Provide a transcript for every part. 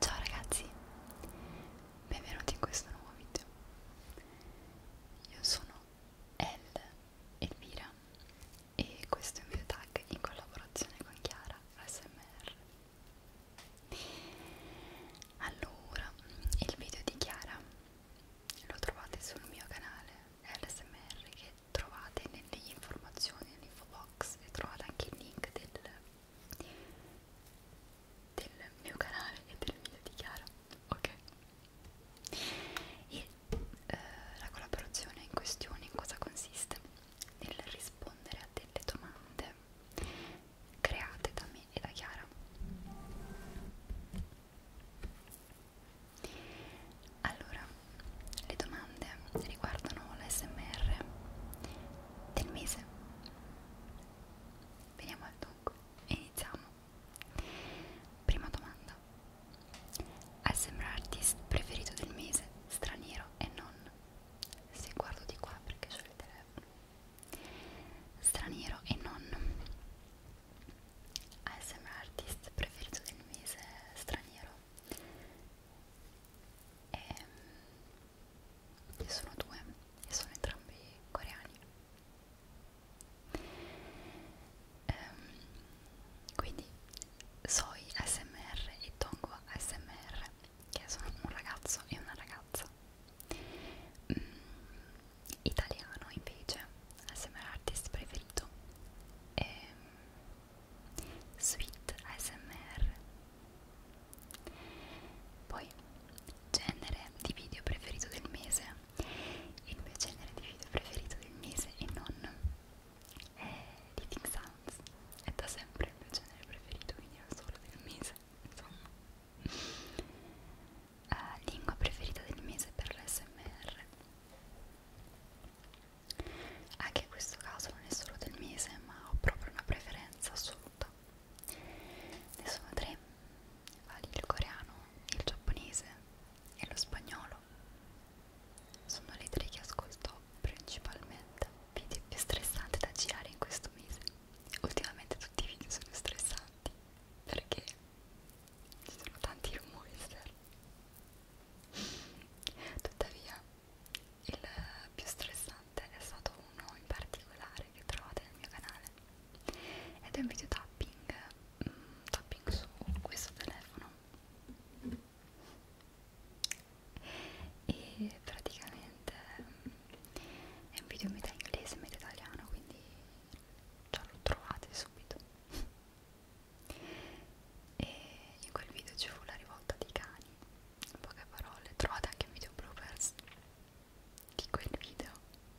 Ciao ragazzi, benvenuti in questo nuovo video. Io sono El Elvira e questo è un video tag in collaborazione con Chiara ASMR. Allora, il video di Chiara lo trovate sul mio canale ASMR che trovate nelle informazioni, nell'info box e trovate anche il link del del mio canale e del video di Chiara ok e eh, la collaborazione in questione in cosa consiste nel rispondere a delle domande create da me e da Chiara allora le domande riguardano l'SMR del mese veniamo al dunque e iniziamo prima domanda ASMR artist preferito del mese straniero e non se guardo di qua perché c'è il telefono straniero e non ASMR artist preferito del mese straniero e ehm, ne sono due e sono entrambi coreani ehm, quindi Soi ASMR e Tongwa ASMR che sono un ragazzo e una ragazza mm, italiano invece ASMR artist preferito e ehm, Sweet ASMR Poi genere di video preferito del mese Il mio genere di video preferito del mese e non è Eating Sounds È da sempre il mio genere preferito, quindi non solo del mese Insomma Uh, lingua preferita del mese per l'SMR anche in questo caso non è solo del mese, ma ho proprio una preferenza assoluta. Ne sono tre, vale il coreano, il giapponese e lo spagnolo. Sono le tre che ascolto principalmente. Video più stressanti da girare in questo mese. Ultimamente tutti i video sono stressanti perché ci sono tanti rumori esterni. Tuttavia, il più stressante è stato uno in particolare che trovate nel mio canale ed è un video tapping, mm, tapping su questo telefono e praticamente mm, è un video metà inglese metà italiano quindi già lo trovate subito e in quel video ci fu la rivolta dei cani in poche parole trovate anche un video bloopers di quel video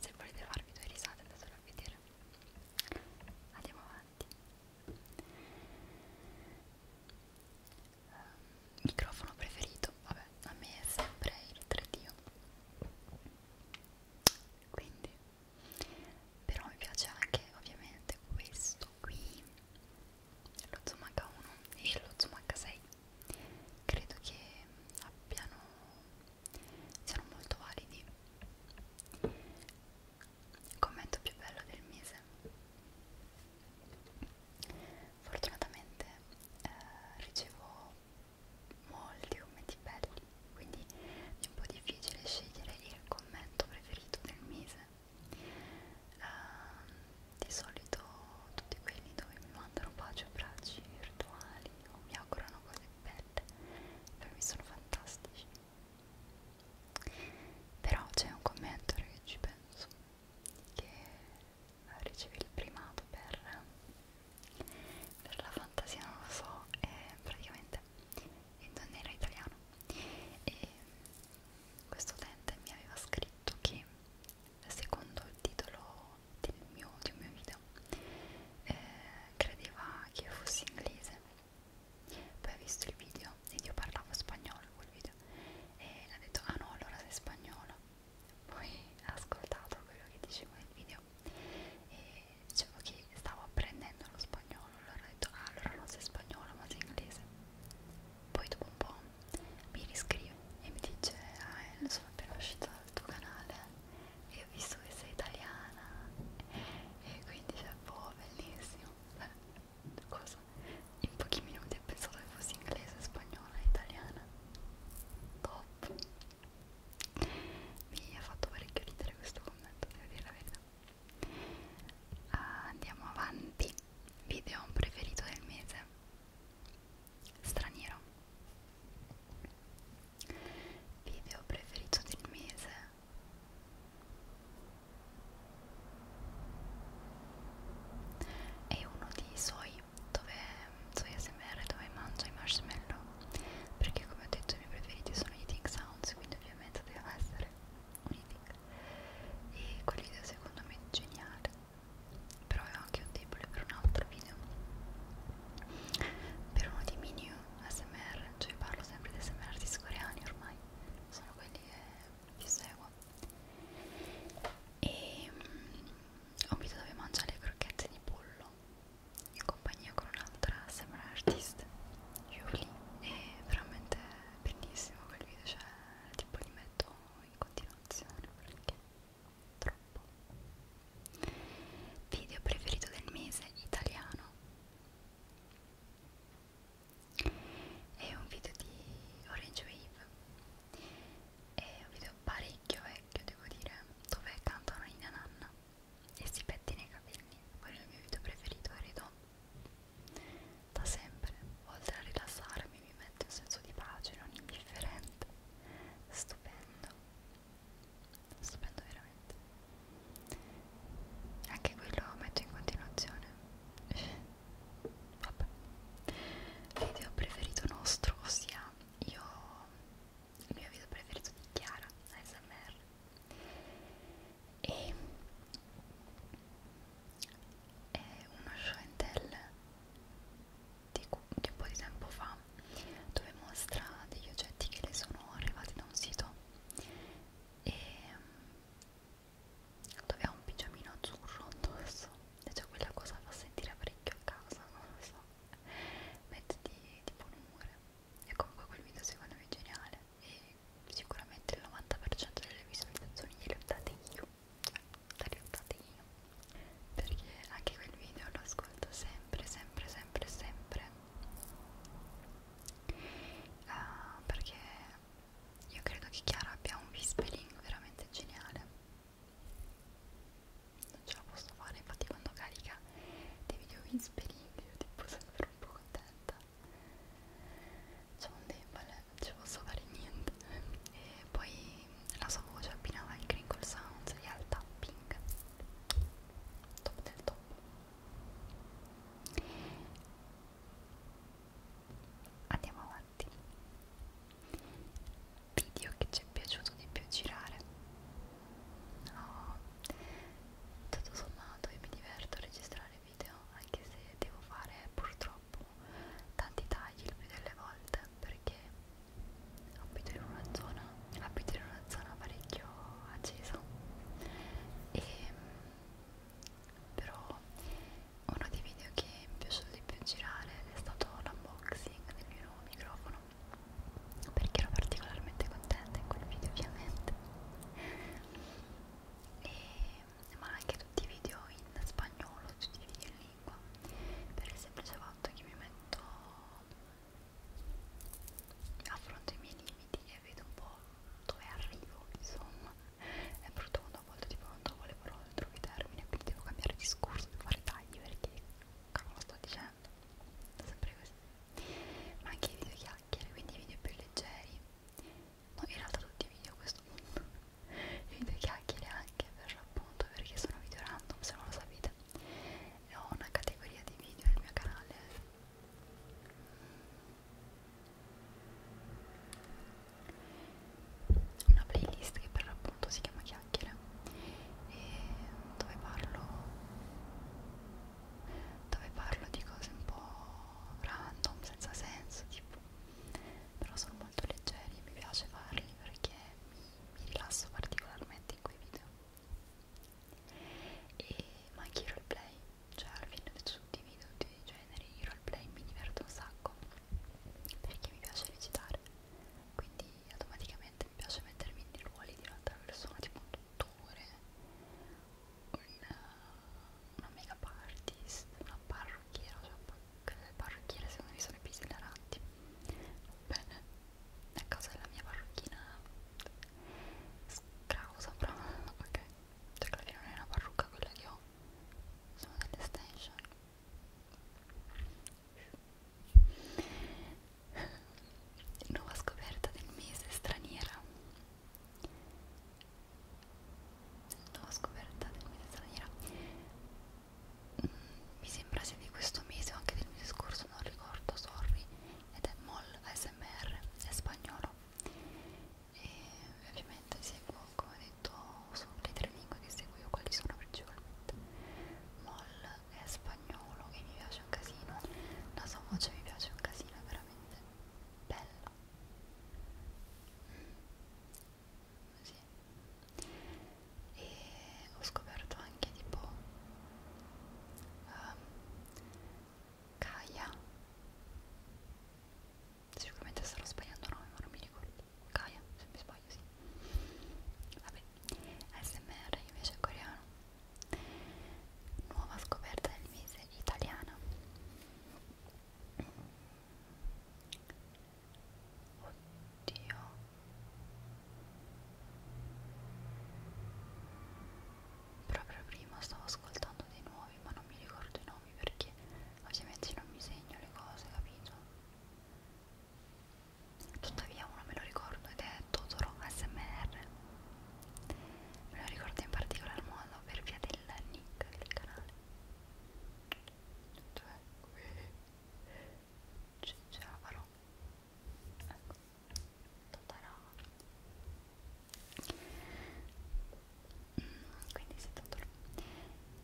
se volete farvi due risate andatelo a vedere andiamo avanti uh, microfono preferito vabbè a me è sempre il 3D quindi però mi piace anche ovviamente questo qui lo Zoom H1 e lo Zoom H6 credo che abbiano siano molto validi commento più bello del mese fortunatamente eh, ricevo molti commenti belli quindi è un po' difficile scegliere il commento preferito del mese Uh, di solito tutti quelli dove mi mandano baci o bracci virtuali o mi augurano cose belle per me sono fantastici però c'è un commento che ci penso che ricevi il primato per, per la fantasia non lo so è praticamente in italiano e questo utente mi aveva scritto che secondo il titolo del mio, di un mio video eh, credeva che io fossi inglese poi ha visto il video ed io parlavo spagnolo quel video e ha detto ah no allora sei spagnolo poi ha ascoltato quello che dicevo nel video e dicevo che stavo apprendendo lo spagnolo allora ho detto ah, allora non sei spagnolo ma sei inglese poi dopo un po' mi riscrive e mi dice ah sono appena uscita dal tuo canale e ho visto che sei italiana e quindi cioè boh bellissimo Beh, cosa? in pochi minuti ho pensato che fossi inglese, spagnola e italiana top mi ha fatto parecchio ridere questo commento devo dire la verità uh, andiamo avanti video preferito del mese straniero video preferito del mese è uno di Soy dove Soy ASMR dove mangio i marshmallow perché come ho detto i miei preferiti sono i Ting Sounds quindi ovviamente deve essere unifica e quell'idea secondo me è geniale però avevo anche un debole per un altro video per uno di mini ASMR cioè parlo sempre di ASMR artisti coreani ormai sono quelli che vi seguo e um, ho un video dove mangia le crocchette di pollo in compagnia con un'altra ASMR artist Yuli e veramente bellissimo quel video, cioè tipo li metto in continuazione perché troppo. Video preferito del mese italiano. È un video di Orange Wave. È un video parecchio vecchio, devo dire, dove cantano Nina Nanna e si pettina i capelli. Quello è il mio video preferito, credo da sempre, oltre a rilassarmi, mi mette un senso di pace non indifferente. Stupendo, stupendo veramente. Anche quello metto in continuazione. Vabbè. Video preferito nostro, ossia io il mio video preferito di Chiara ASMR e è uno show and tell di, di un po' di tempo fa dove mostra degli oggetti che le sono arrivati da un sito e mm, dove ha un pigiamino azzurro addosso e cioè quella cosa fa sentire parecchio a casa non lo so mettiti tipo un umore e comunque quel video secondo me è geniale e sicuramente il 90% delle visualizzazioni gliele ho date io le ho date io perché anche quel video lo ascolto sempre sempre sempre sempre uh, perché io credo che Chiara abbia un whispering veramente geniale non ce la posso fare infatti quando carica dei video whispering io tipo sono un po' contenta c'è cioè, un debole, non ci posso fare niente e poi la sua voce abbinava il crinkle sounds e al tapping top del top andiamo avanti video che ci è piaciuto di più girare no tutto sommato io mi diverto a registrare video anche se devo fare purtroppo tanti tagli il più delle volte perché abito in una zona abito in una zona parecchio accesa e però uno dei video che mi è piaciuto di più girare è stato l'unboxing del mio nuovo microfono perché ero particolarmente contenta in quel video ovviamente e, eh, ma anche tutti i video in spagnolo, tutti i video in lingua per il semplice fatto che mi metto affronto i miei limiti e vedo un po' dove arrivo insomma è brutto quando a volte tipo non trovo le parole, non trovo i termini quindi devo cambiare discorso, devo fare tagli perché cavolo sto dicendo sempre così ma anche i video chiacchiere, quindi video più leggeri no, in realtà tutti i video a questo punto video chiacchiere anche per l'appunto perché sono video random se non lo sapete e ho una categoria di video nel mio canale una playlist che per l'appunto si chiama chiacchiere e dove parlo dove parlo di cose un po' random, senza senso, tipo però sono molto leggeri, mi piace farli perché mi, mi rilasso particolarmente in quei video e, ma anche i roleplay, cioè alla fine suddivido tutti i generi, i roleplay mi diverto un sacco perché mi piace recitare quindi automaticamente mi piace mettermi nei ruoli di un'altra persona tipo un tutore una, una make-up artist, una parrucchiera, cioè le parrucchiere secondo me sono i più esilaranti. Bene, a causa della mia parrucchina scrausa, però ok, cioè quella che non è una parrucca quella che ho, sono delle extension. Nuova scoperta del mese straniera nuova scoperta del mese straniera mm, mi sembra sia di questo mese o anche del mese scorso non ricordo sorry ed è MOL ASMR è spagnolo e ovviamente seguo come ho detto sulle tre lingue che seguo io quali sono principalmente MOL è spagnolo e mi piace un casino la sua voce mi piace un casino è veramente veramente bello mm. sì. e ho scoperto anche tipo um, Kaya sicuramente starò sbagliando nome ma non mi ricordo Kaya se mi sbaglio sì vabbè ASMR invece è coreano nuova scoperta del mese italiana oddio proprio prima stavo ascoltando dei nuovi ma non mi ricordo i nomi perché ovviamente non mi segno le cose capito tuttavia uno me lo ricordo ed è Totoro SMR me lo ricordo in particolar modo per via del nick del canale cioè qui ce la farò ecco Totarà mm, quindi si Totoro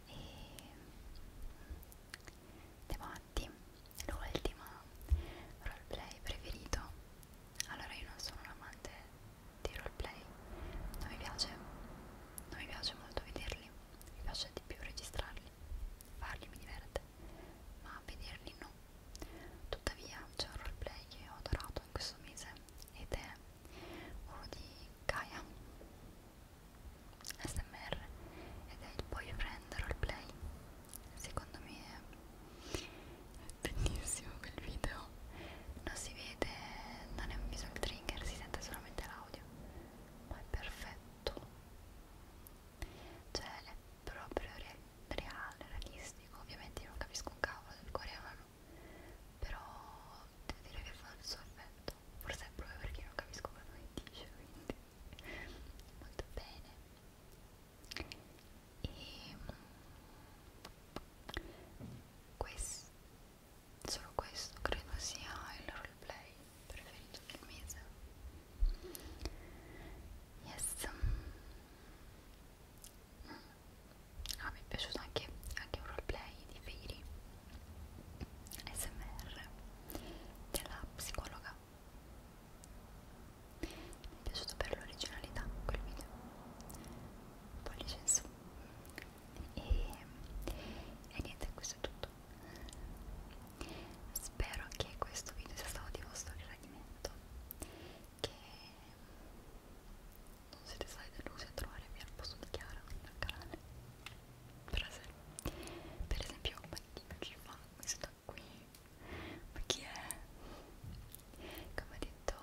e ehm, davanti l'ultimo roleplay preferito allora io non sono un amante di roleplay non mi piace non mi piace molto vederli mi piace di più registrarli farli mi diverte ma vederli no tuttavia c'è un roleplay che ho adorato in questo mese ed è uno di Gaia SMR ed è il boyfriend roleplay secondo me è bellissimo quel video non si vede non è un visual trigger si sente solamente l'audio ma è perfetto cioè è proprio re reale realistico ovviamente io non capisco un cavolo del coreano però devo dire che fa il suo effetto forse è proprio perché non capisco quello che dice quindi molto bene e questo, solo questo credo sia il roleplay preferito del mese yes ah, mi è piaciuto anche, anche un roleplay di Fairy SMR della psicologa mi è piaciuto per l'originalità quel video pollice in su e, e niente questo è tutto spero che questo video sia stato di vostro gradimento che non siete stati delusi a trovarmi al posto di Chiara al canale per esempio, per esempio ma chi ci fa questo qui ma chi è? Come ho detto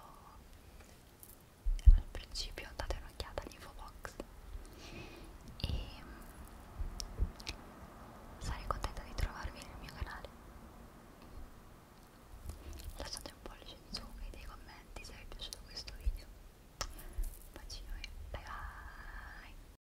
al principio date un'occhiata all'infobox e mm, sarei contenta di trovarvi nel mio canale lasciate un pollice in su e dei commenti se vi è piaciuto questo video un bacino e bye bye